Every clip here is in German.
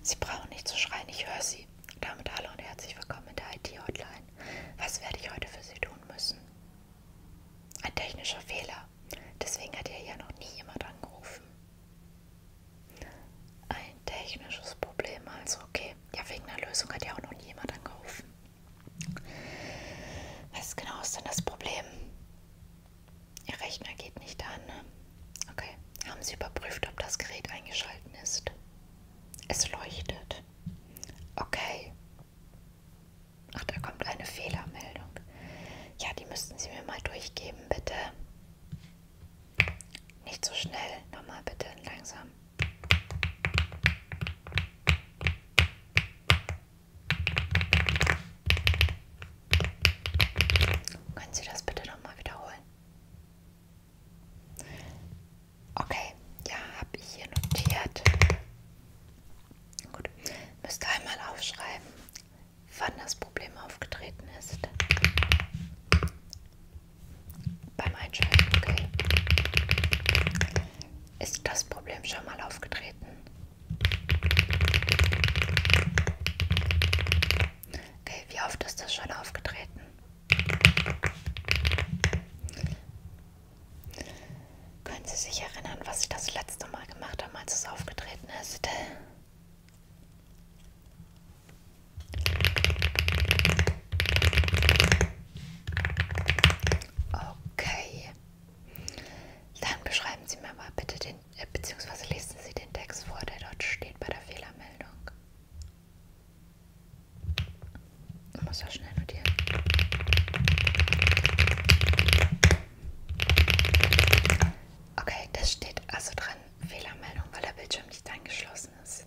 Sie brauchen nicht zu schreien, ich höre Sie. Damit hallo und herzlich willkommen in der IT-Hotline. Was werde ich heute für Sie tun müssen? Ein technischer Fehler. Deswegen hat hier ja noch nie jemand angerufen. Ein technisches Problem, also okay. Ja, wegen einer Lösung hat ja auch noch nie jemand angerufen. Was genau ist denn das Problem? Ihr Rechner geht nicht an. Ne? Okay. Haben Sie überprüft, ob das Gerät eingeschalten ist? Es leuchtet. Okay. Ach, da kommt eine Fehlermeldung. Ja, die müssten Sie mir mal durchgeben, bitte. Nicht so schnell. Nochmal bitte langsam. Können Sie das bitte nochmal wiederholen? Okay, ja, habe ich hier notiert. Gut, müsst einmal aufschreiben, wann das Problem aufgetreten ist. Beim Einschalten, okay. Ist das Problem schon mal aufgetreten? Okay, wie oft ist das schon aufgetreten? Können Sie sich erinnern, was Sie das letzte Mal gemacht haben, als es aufgetreten ist? Okay. Dann beschreiben Sie mir mal bitte den äh, beziehungsweise lesen Sie den Text vor, der dort steht bei der Fehlermeldung. Ich muss ja schnell notieren. Okay, das steht also dran, Fehlermeldung, weil der Bildschirm nicht angeschlossen ist.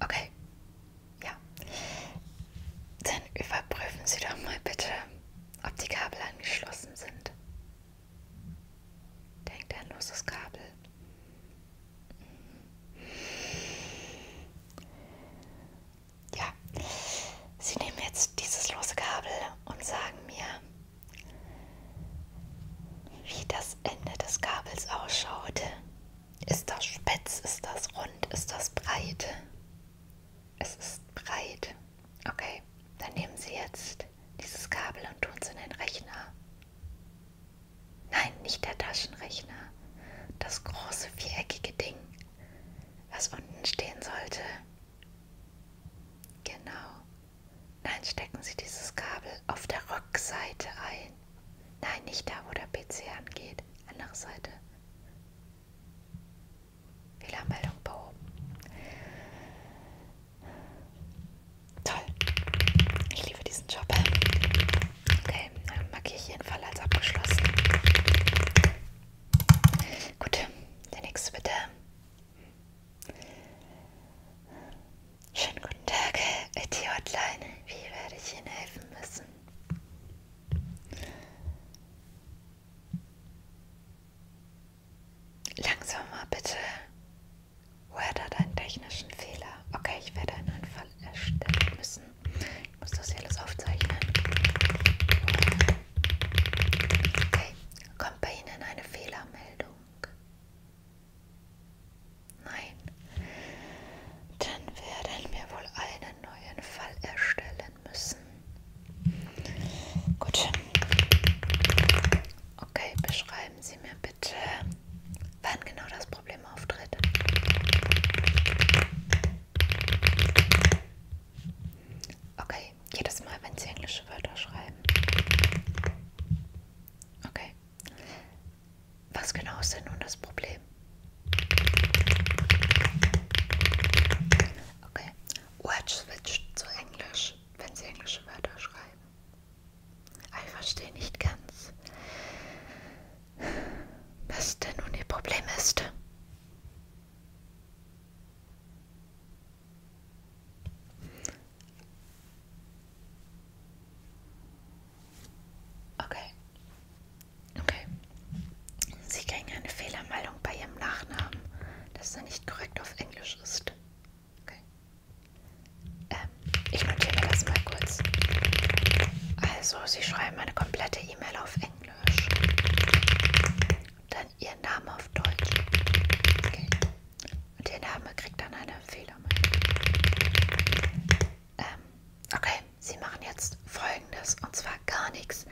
Okay, ja. Dann überprüfen Sie doch mal bitte ob die Kabel angeschlossen sind. Denkt ein loses Kabel. Ja, Sie nehmen jetzt dieses lose Kabel und sagen mir, wie das Ende des Kabels ausschaut. Ist das spitz? Ist das rund? Ist das breit? Es ist breit. Okay, dann nehmen Sie jetzt dieses Kabel und tun es in den Rechner. Nein, nicht der Taschenrechner. Das große viereckige Ding, was unten stehen sollte. Genau. Nein, stecken Sie dieses Kabel auf der Rückseite ein. Nein, nicht da, wo der PC angeht. Andere Seite. Fehlermeldung behoben. Toll. Ich liebe diesen Job. Okay, dann markiere ich jeden Fall als abgeschlossen. Gut, der nächste bitte. Schönen guten Tag, IT-Hotline. Wie werde ich Ihnen helfen müssen? Langsamer bitte. Woher da deinen technischen Fehler? Okay, ich werde einen Anfall erstellen müssen. Ich muss das hier alles aufzeichnen. Okay, kommt bei Ihnen eine Fehlermeldung? Nein. Dann werden wir wohl eine einen neuen Fall erstellen müssen. Gut. Okay, beschreiben Sie mir bitte, wann genau das Problem auftritt. Okay, jedes Mal, wenn Sie englische Wörter schreiben. Okay. Was genau ist denn nun das Problem? Okay. Word switch zu Englisch, wenn Sie englische Wörter schreiben. Ah, ich verstehe nicht ganz, was denn nun Ihr Problem ist. Okay. Okay. Sie kriegen eine Fehlermeldung bei Ihrem Nachnamen, dass er nicht korrekt auf Englisch ist. Okay. Ähm, ich notiere mir das mal kurz. Also, Sie schreiben eine komplette E-Mail auf Englisch. Dann Ihr Name auf Deutsch. Okay. Und Ihr Name kriegt dann eine Fehlermeldung. Ähm, okay, Sie machen jetzt folgendes und zwar gar nichts,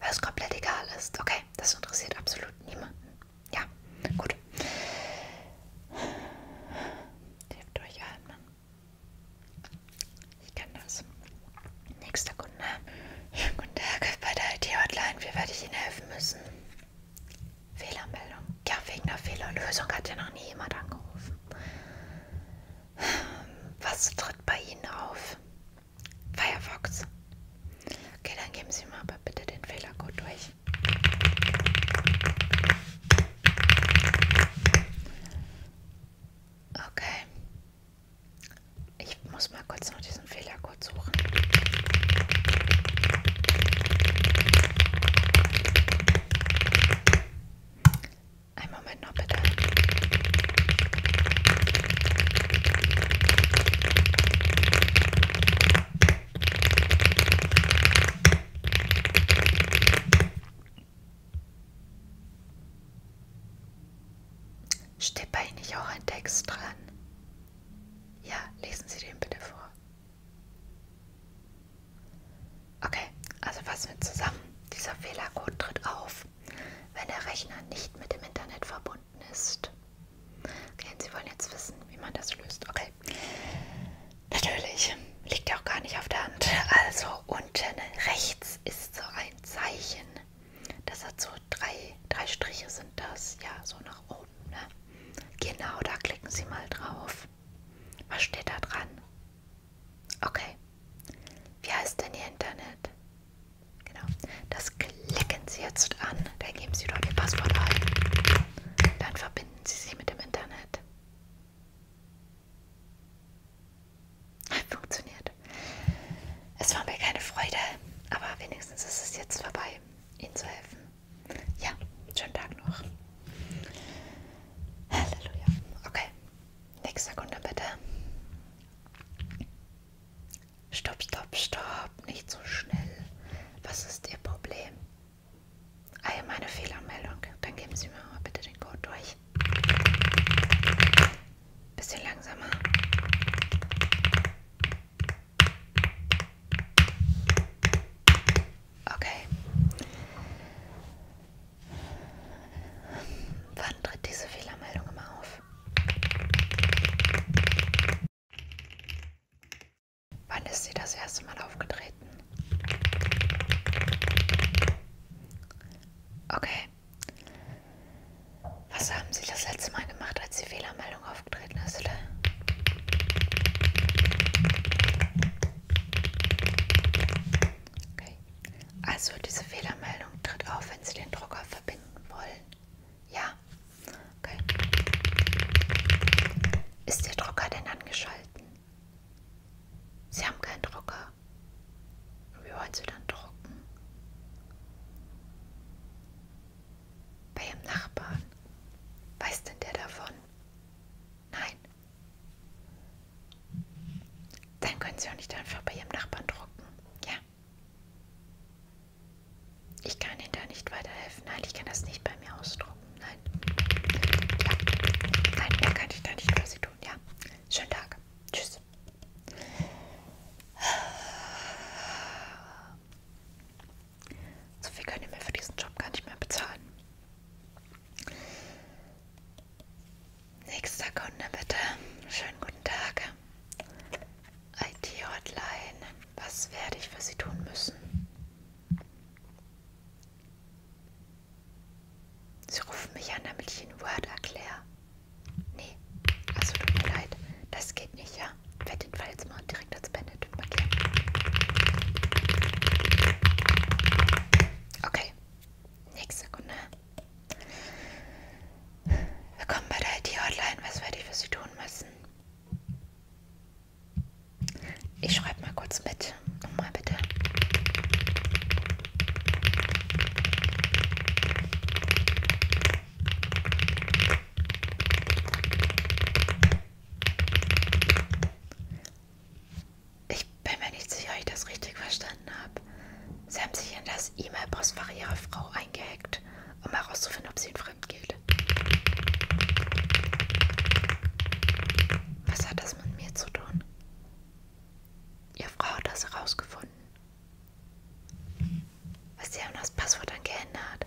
weil es komplett egal ist. Okay, das interessiert absolut niemanden. Ja, gut. Hilft durchatmen. Ich kenne das. Nächster Kunde. Ja, guten Tag bei der IT-Hotline. Wie werde ich Ihnen helfen müssen? Fehlermeldung. Ja, wegen der Fehlerlösung hat ja noch nie jemand angerufen. Was tritt bei Ihnen auf? Firefox. Okay, dann geben Sie mir aber bitte den Fehlercode durch. Okay. Ich muss mal kurz noch diesen Fehlercode suchen. Ein Moment noch bitte. Steht bei Ihnen nicht auch ein Text dran? Ja, lesen Sie den bitte vor. Okay, also fassen wir zusammen. Dieser Fehlercode tritt auf, wenn der Rechner nicht mit dem Internet verbunden ist. Okay, und Sie wollen jetzt wissen, wie man das löst. Okay. Natürlich, liegt ja auch gar nicht auf der Hand. Also unten rechts ist so ein Zeichen. Das hat so drei, drei Striche sind das. Ja, so nach oben. Ne? Genau, da klicken Sie mal drauf. Was steht da dran? Okay. Wie heißt denn Ihr Internet? Genau. Das klicken Sie jetzt an. Dann geben Sie dort Ihr Passwort ein. Dann verbinden Sie sich mit dem Internet. Funktioniert. Es war mir keine Freude, aber wenigstens ist es jetzt vorbei, Ihnen zu helfen. Ja, schönen Tag noch. Halleluja. Okay. Nächste Sekunde bitte. Stopp, stopp, stopp. Nicht so schnell. Was ist Ihr Problem? Allgemeine ah Fehlermeldung. Dann geben Sie mir mal bitte den Code durch. Bisschen langsamer. Okay. Wann tritt diese Fehlermeldung immer auf? Wann ist sie das erste Mal aufgetreten? Okay. Was haben Sie das letzte Mal gemacht, als die Fehlermeldung aufgetreten ist? Okay. Also diese Fehlermeldung tritt auf, wenn Sie den Drucker verbinden wollen. Ja. Okay. Ist der Drucker denn angeschalten? Sie haben keinen Drucker. Und wie wollen Sie dann drucken? Bei Ihrem Nachbarn. Weiß denn der davon? Nein. Dann können Sie auch nicht einfach bei Ihrem Nachbarn drucken. Ja. Ich kann Ihnen da nicht weiterhelfen. Nein, ich kann das nicht bei mir ausdrucken. Nein. Ja. Nein, da kann ich da nicht für Sie tun. Ja. Schönen Tag. Tschüss. So viel könnt ihr mir für diesen Job gar nicht mehr bezahlen. Nächster Kunde bitte. Schönen guten Tag. IT-Hotline. Was werde ich für Sie tun müssen? Sie rufen mich an, damit ich Ihnen Word erkläre. Nee, also tut mir leid. Das geht nicht, ja? Ich werde den Fall jetzt mal direkt als Bandit Tütpapier. Okay, nächste Sekunde. Willkommen bei der IT-Hotline. Was werde ich für Sie tun müssen? Ich schreibe mal kurz mit. Nochmal bitte. Ich bin mir nicht sicher, ob ich das richtig verstanden habe. Sie haben sich in das E-Mail-Postfach ihrer Frau eingehackt, um herauszufinden, ob sie ihn fremd geht. Was hat das mit mir zu tun? Ihre Frau hat das herausgefunden. Was sie haben das Passwort dann geändert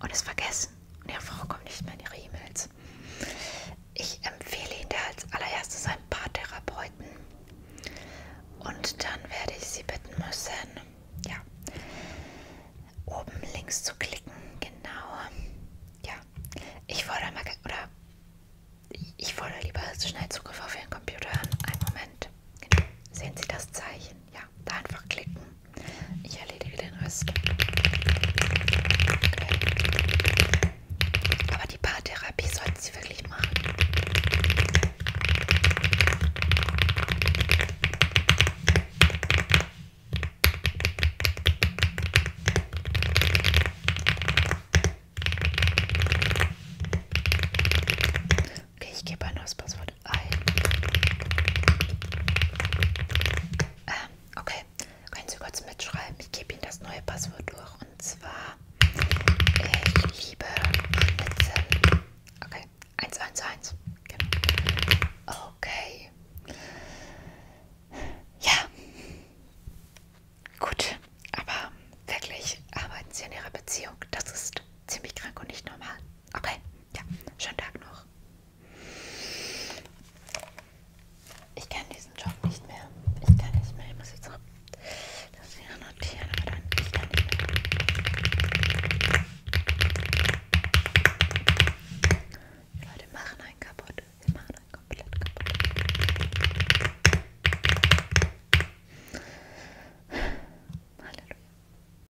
und es vergessen. Und ihre Frau kommt nicht mehr in ihre E-Mails. Ich empfehle Ihnen da als allererstes ein paar Therapeuten. Und dann werde ich Sie bitten müssen, ja, oben links zu klicken. Genau. Ja, ich fordere mal, oder ich fordere lieber schnell Zugriff auf Ihren Computer an. Einen Moment. Genau. Sehen Sie das Zeichen? Ja. Ja, da einfach klicken. Ich erledige den Rest. Okay. Aber die Paartherapie sollten Sie wirklich machen. Okay, ich gebe ein neues Passwort und ein. Ähm, okay, können Sie kurz mitschreiben? Ich gebe Ihnen das neue Passwort durch und zwar: Ich äh, liebe Schnitzel. Okay, 111. Genau. Okay. Ja. Gut, aber wirklich arbeiten Sie an Ihrer Beziehung. Das ist ziemlich krank und nicht normal. Okay, ja, schönen Tag noch. Ich kann diesen Job nicht mehr. Ich kann nicht mehr. Ich muss jetzt noch das hier notieren, aber dann ich kann nicht mehr. Die Leute machen einen kaputt. Sie machen einen komplett kaputt. Halleluja.